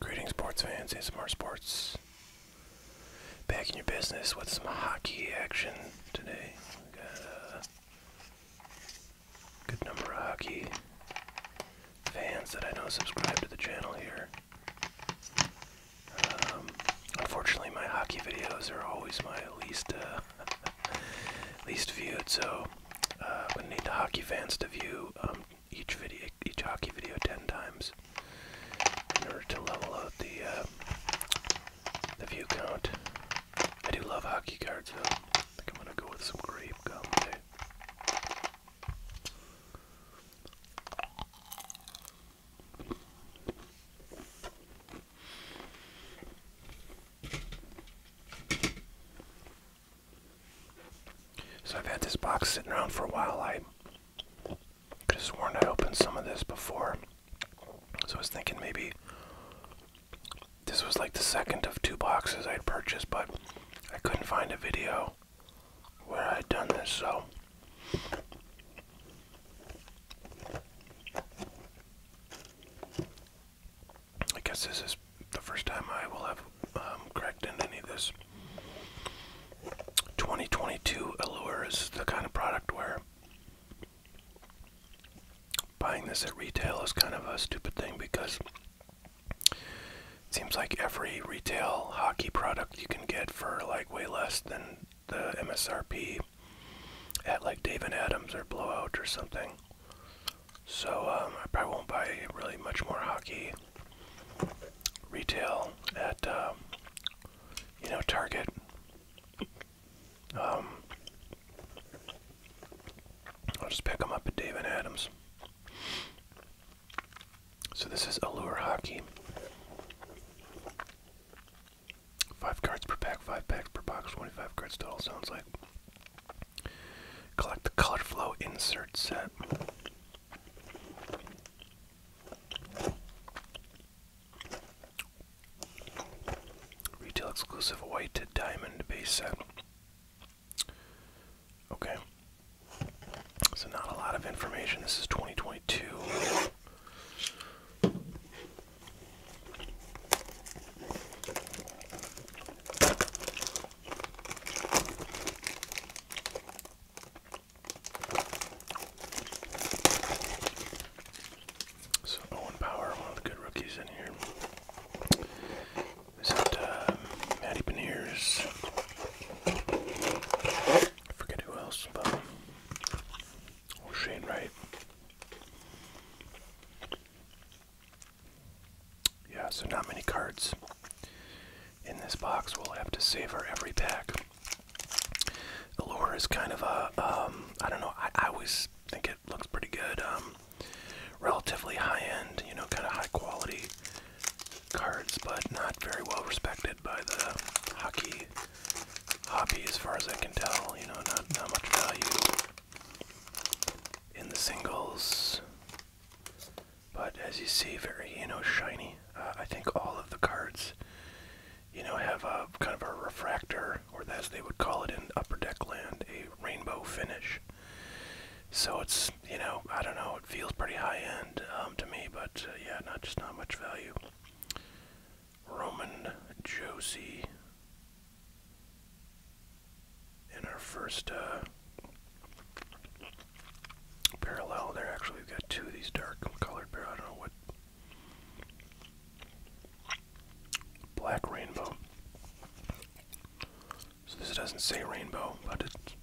Greetings, sports fans, and smart sports. Back in your business with some hockey action today. got a good number of hockey fans that I know subscribe to the channel here. Um, unfortunately, my hockey videos are always my least uh, least viewed, so I'm uh, gonna need the hockey fans to view um, each video, each hockey video, ten times in order to level out the uh, the view count. I do love hockey cards, though. I think I'm gonna go with some grape gum today. Eh? So I've had this box sitting around for a while. I just have sworn I opened some of this before. So I was thinking maybe this was like the second of two boxes I'd purchased, but I couldn't find a video where I'd done this, so I guess this is the first time I will have um, cracked into any of this. 2022 Allure is the kind of product where buying this at retail is kind of a stupid thing because it seems like every retail hockey product you can get for like way less than the MSRP at like Dave and Adams or Blowout or something. So um, I probably won't buy really much more hockey retail at um, you know Target. Um, I'll just pick them up at Dave and Adams. So this is Allure Hockey. Five cards per pack, five packs per box, 25 cards total, sounds like. Collect the Color Flow insert set. Retail exclusive white diamond base set. Okay, so not a lot of information. This is 2022. So Owen Power, one of the good rookies in here. Is it uh, Matty Beniers? I forget who else, but oh, Shane Wright. Yeah, so not many cards in this box. We'll have to save our every pack. The lore is kind of a um, don't know, I, I always think it looks pretty good. Um, relatively high end, you know, kind of high quality cards, but not very well respected by the hockey hobby, as far as I can tell. You know, not not much value in the singles, but as you see, very you know shiny. Uh, I think all of the cards, you know, have a kind of a refractor, or as they would call it in upper deck land, a rainbow finish. So it's you know I don't know it feels pretty high end um, to me, but uh, yeah, not just not much value. Roman Josie in our first uh, parallel there. Actually, we've got two of these dark colored pair. I don't know what black rainbow. So this doesn't say rainbow, but it's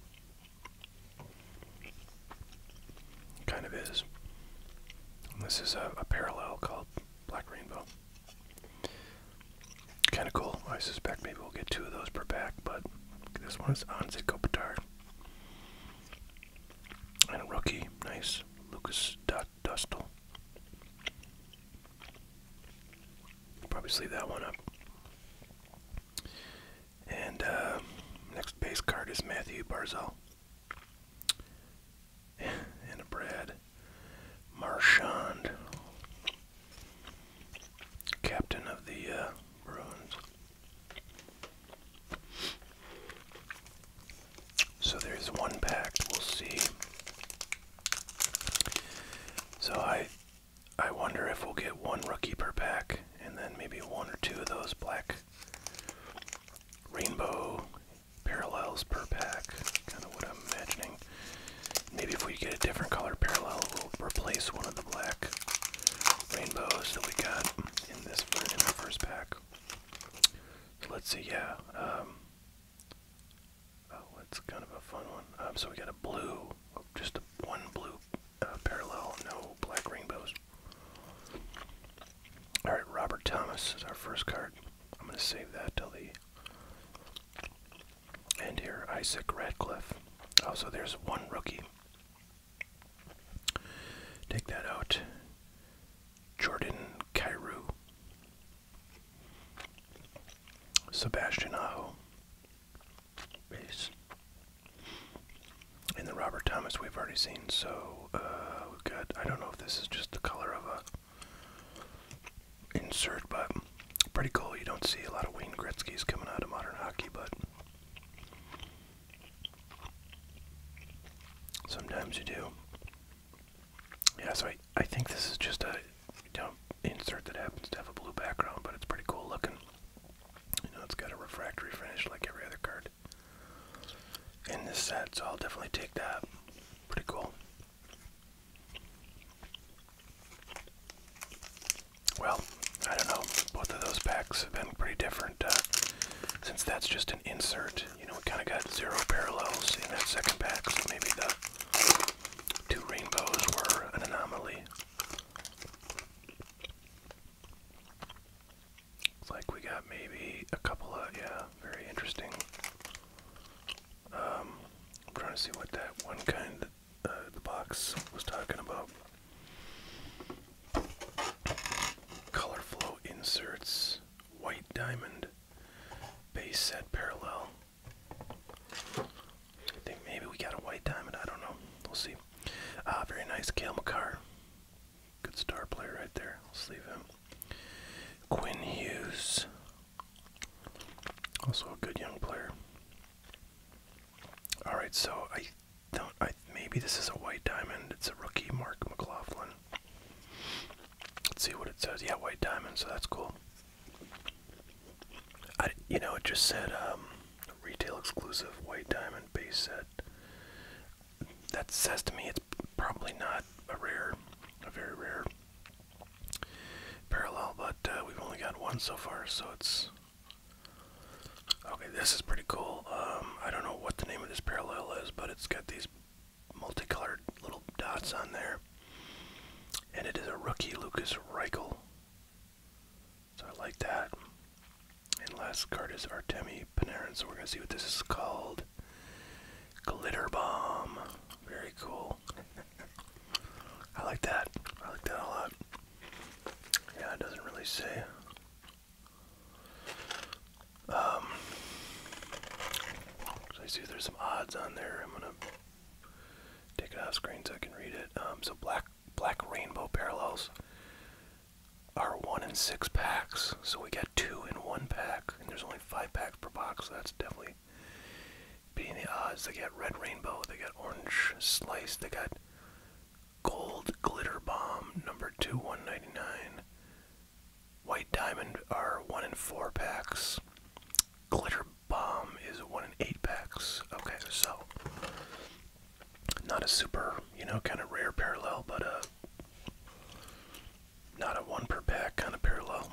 kind of is. this is a, parallel called Black Rainbow. Kind of cool. I suspect maybe we'll get two of those per pack, but this one is Anze Kopitar. And a rookie, nice, Lucas Dustel. Probably sleeve that one up. And uh, next base card is Matthew Barzell. and Brad Marchand. Captain of the uh, Bruins. So there's one pack. We'll see. So I I wonder if we'll get one rookie per pack, and then maybe one or two of those black rainbow parallels per pack. Kind of what I'm imagining. Maybe if we get a different color parallel, we'll replace one of the black rainbows that we got in this in our first pack. let's see. Yeah. Um, oh, that's kind of a fun one. Um, so we got a blue, oh, just a, one blue uh, parallel, no black rainbows. All right, Robert Thomas is our first card. I'm going to save that till the and here, Isaac Radcliffe. Oh, so there's one rookie. Take that out. Jordan Cairo. Sebastian Aho base. And then Robert Thomas we've already seen, so uh, we've got, I don't know if this is just the color of a insert, but pretty cool. You don't see a lot of Wayne Gretzky's coming out of modern hockey, but sometimes you do. Yeah, so I, I think this is just a you insert that happens to have a blue background, but it's pretty cool looking. You know, it's got a refractory finish like every other card in this set, so I'll definitely take that. Pretty cool. Well, I don't know. Both of those packs have been pretty different. Uh, since that's just an insert, you know, we kind of got zero parallels in that second pack, so maybe the two rainbows were an anomaly. It's like we got maybe a couple of, yeah, very interesting. Um, I'm trying to see what that one kind that uh, the box was talking about. Color inserts, white diamond, base set parallel. I think maybe we got a white diamond. I don't know. We'll see. Ah, very nice. Kale McCarr. Good star player right there. Let's leave him. Quinn Hughes. Also a good young player. Alright, so I don't I maybe this is a white diamond. It's a rookie Mark McLaughlin. Let's see what it says. Yeah, white diamond, so that's cool. I, you know, it just said um, retail exclusive white diamond base set. That says to me it's probably not a rare, a very rare parallel, but uh, we've only got one so far, so it's. Okay, this is pretty cool. Um, I don't know what the name of this parallel is, but it's got these multicolored little dots on there. And it is a rookie Lucas Reichel so I like that. And last card is Artemi Panarin. So we're gonna see what this is called. Glitter Bomb. Very cool. I like that. I like that a lot. Yeah, it doesn't really say. Um, so I see there's some odds on there. I'm gonna Take it off screen so I can read it. Um, so black black rainbow parallels are one in six packs, so we got two in one pack, and there's only five packs per box, so that's definitely beating the odds. They got red rainbow, they got orange slice, they got gold glitter bomb number two one ninety nine. White diamond are one in four packs. Glitter bomb is one in eight packs. Okay, so not a super, you know, kind of rare parallel, but uh not a one per pack kind of parallel.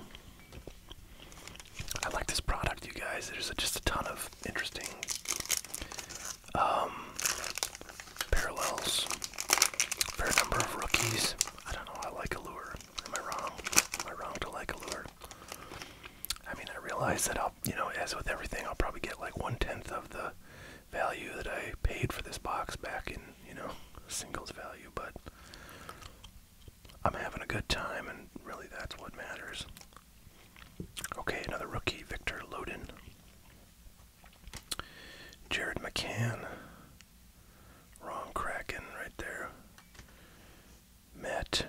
I like this product, you guys. There's just a ton of interesting um, parallels. Fair number of rookies. I don't know. I like Allure. Am I wrong? Am I wrong to like Allure? I mean, I realize that I'll, you know, as with everything, I'll probably get like one tenth of the value that I paid for this box back in, you know, singles value, but I'm having a good time, and really that's what matters. Okay, another rookie, Victor Lodin, Jared McCann. Wrong Kraken right there. Matt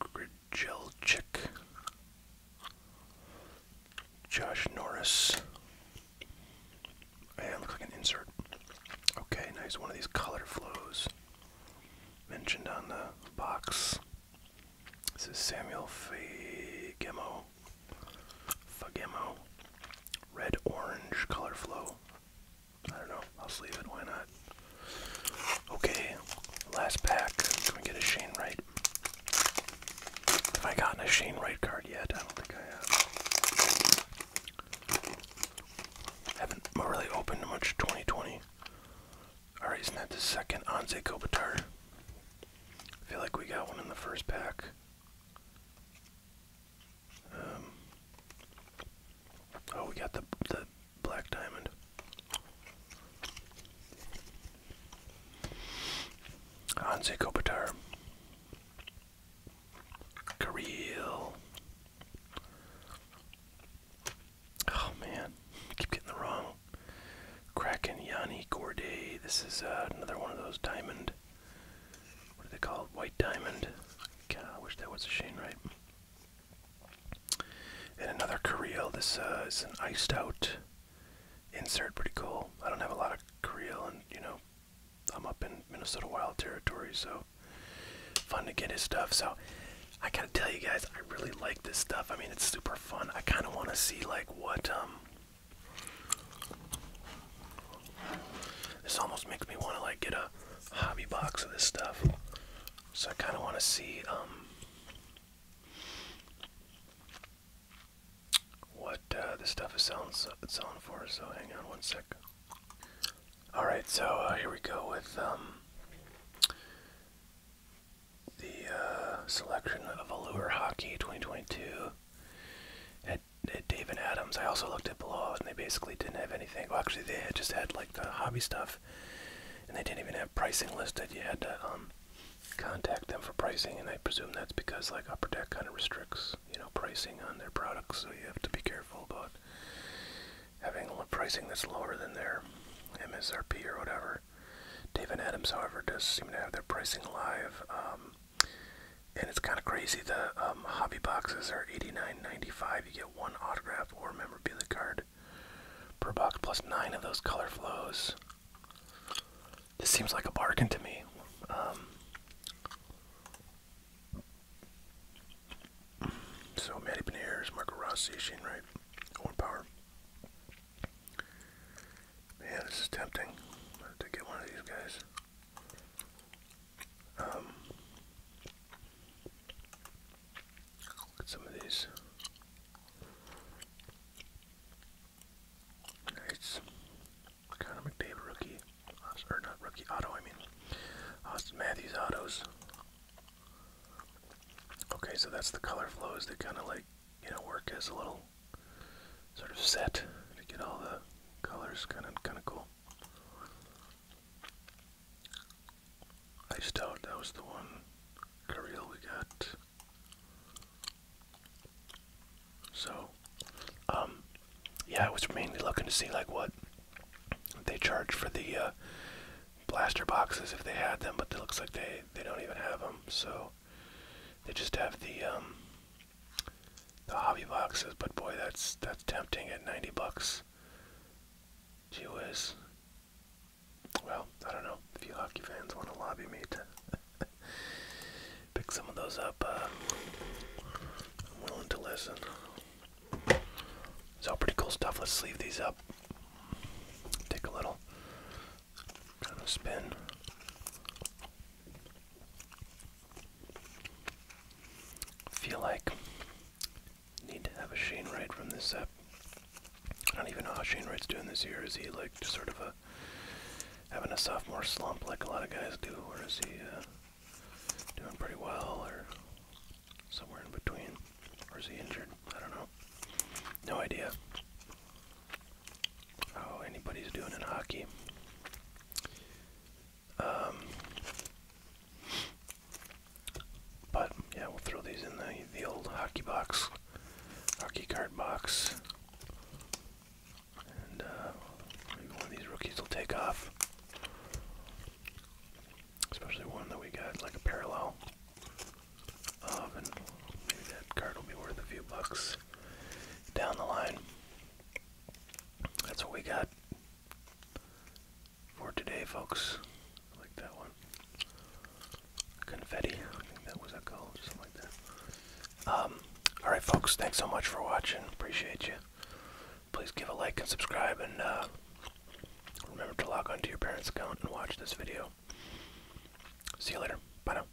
Grijelchik, Josh Norris, and looks like an insert. Okay, nice. One of these color flows mentioned on the box. This is Samuel Fagemo. Fagemo. Red orange color flow. I don't know. I'll sleeve it. Why not? Okay, last pack. Can we get a Shane Wright? Have I gotten a Shane Wright card yet? I don't think I have. Haven't really opened much 2020. Alright, isn't that the second Anze Kopitar? I feel like we got one in the first pack. Um, oh, we got the the black diamond. Hansi Kopitar. Kareel. Oh man, keep getting the wrong. Kraken Yanni Gorday. This is uh, another one of those diamond. What are they called? White diamond. God, I wish that was a Shane right? And another Creel. This uh, is an iced out insert. Pretty cool. I don't have a lot of Creel, and you know, I'm up in Minnesota Wild territory, so fun to get his stuff. So I gotta tell you guys, I really like this stuff. I mean, it's super fun. I kind of want to see like what um this almost makes me want to like get a hobby box of this stuff. So I kind of want to see um what uh, this stuff is selling, selling for. So hang on one sec. All right, so uh, here we go with um the uh, selection of Allure Hockey 2022 David Adams. I also looked at Below, and they basically didn't have anything. Well, actually, they had just had like the hobby stuff, and they didn't even have pricing listed. You had to um, contact them for pricing, and I presume that's because like Upper Deck kind of restricts, you know, pricing on their products. So you have to be careful about having pricing that's lower than their MSRP or whatever. David Adams, however, does seem to have their pricing live. Um, and it's kind of crazy. The um, hobby boxes are $89.95. You get one autograph or memorabilia card per box, plus nine of those color flows. This seems like a bargain to me. Um. so, Matty Beniers, Marco Rossi, Shane Wright, Owen Power. Yeah, this is tempting to get one of these guys. Um, some of these. Nice. Connor McDavid rookie. Uh, or not rookie, auto, I mean. Austin uh, Matthews autos. Okay, so that's the color flows. They kind of like, you know, work as a little sort of set to get all the colors. Kind of, kind of cool. I just out, that was the one. Caril we got. So, um, yeah, I was mainly looking to see like what they charge for the uh, blaster boxes if they had them, but it looks like they they don't even have them. So they just have the um, the hobby boxes, but boy, that's that's tempting at 90 bucks. Gee whiz. Well, I don't know if you hockey fans want to lobby me to pick some of those up. Uh, I'm willing to listen. So pretty cool stuff. Let's leave these up. Take a little kind of spin feel like need to have a Shane Wright from this set. I don't even know how Shane Wright's doing this year. Is he like sort of a having a sophomore slump like a lot of guys do, or is he uh, doing pretty well, or somewhere in between, or is he injured? I don't know. No idea how anybody's doing in hockey. Um, but yeah, we'll throw these in the the old hockey box, hockey card box, and uh, maybe one of these rookies will take off. Especially one that we got like a parallel and maybe that card will be worth a few bucks down the line that's what we got for today, folks. like that one. Confetti. I think that was a call, something like that. Um, Alright, folks. Thanks so much for watching. Appreciate you. Please give a like and subscribe, and uh, remember to log on to your parents' account and watch this video. See you later. Bye now.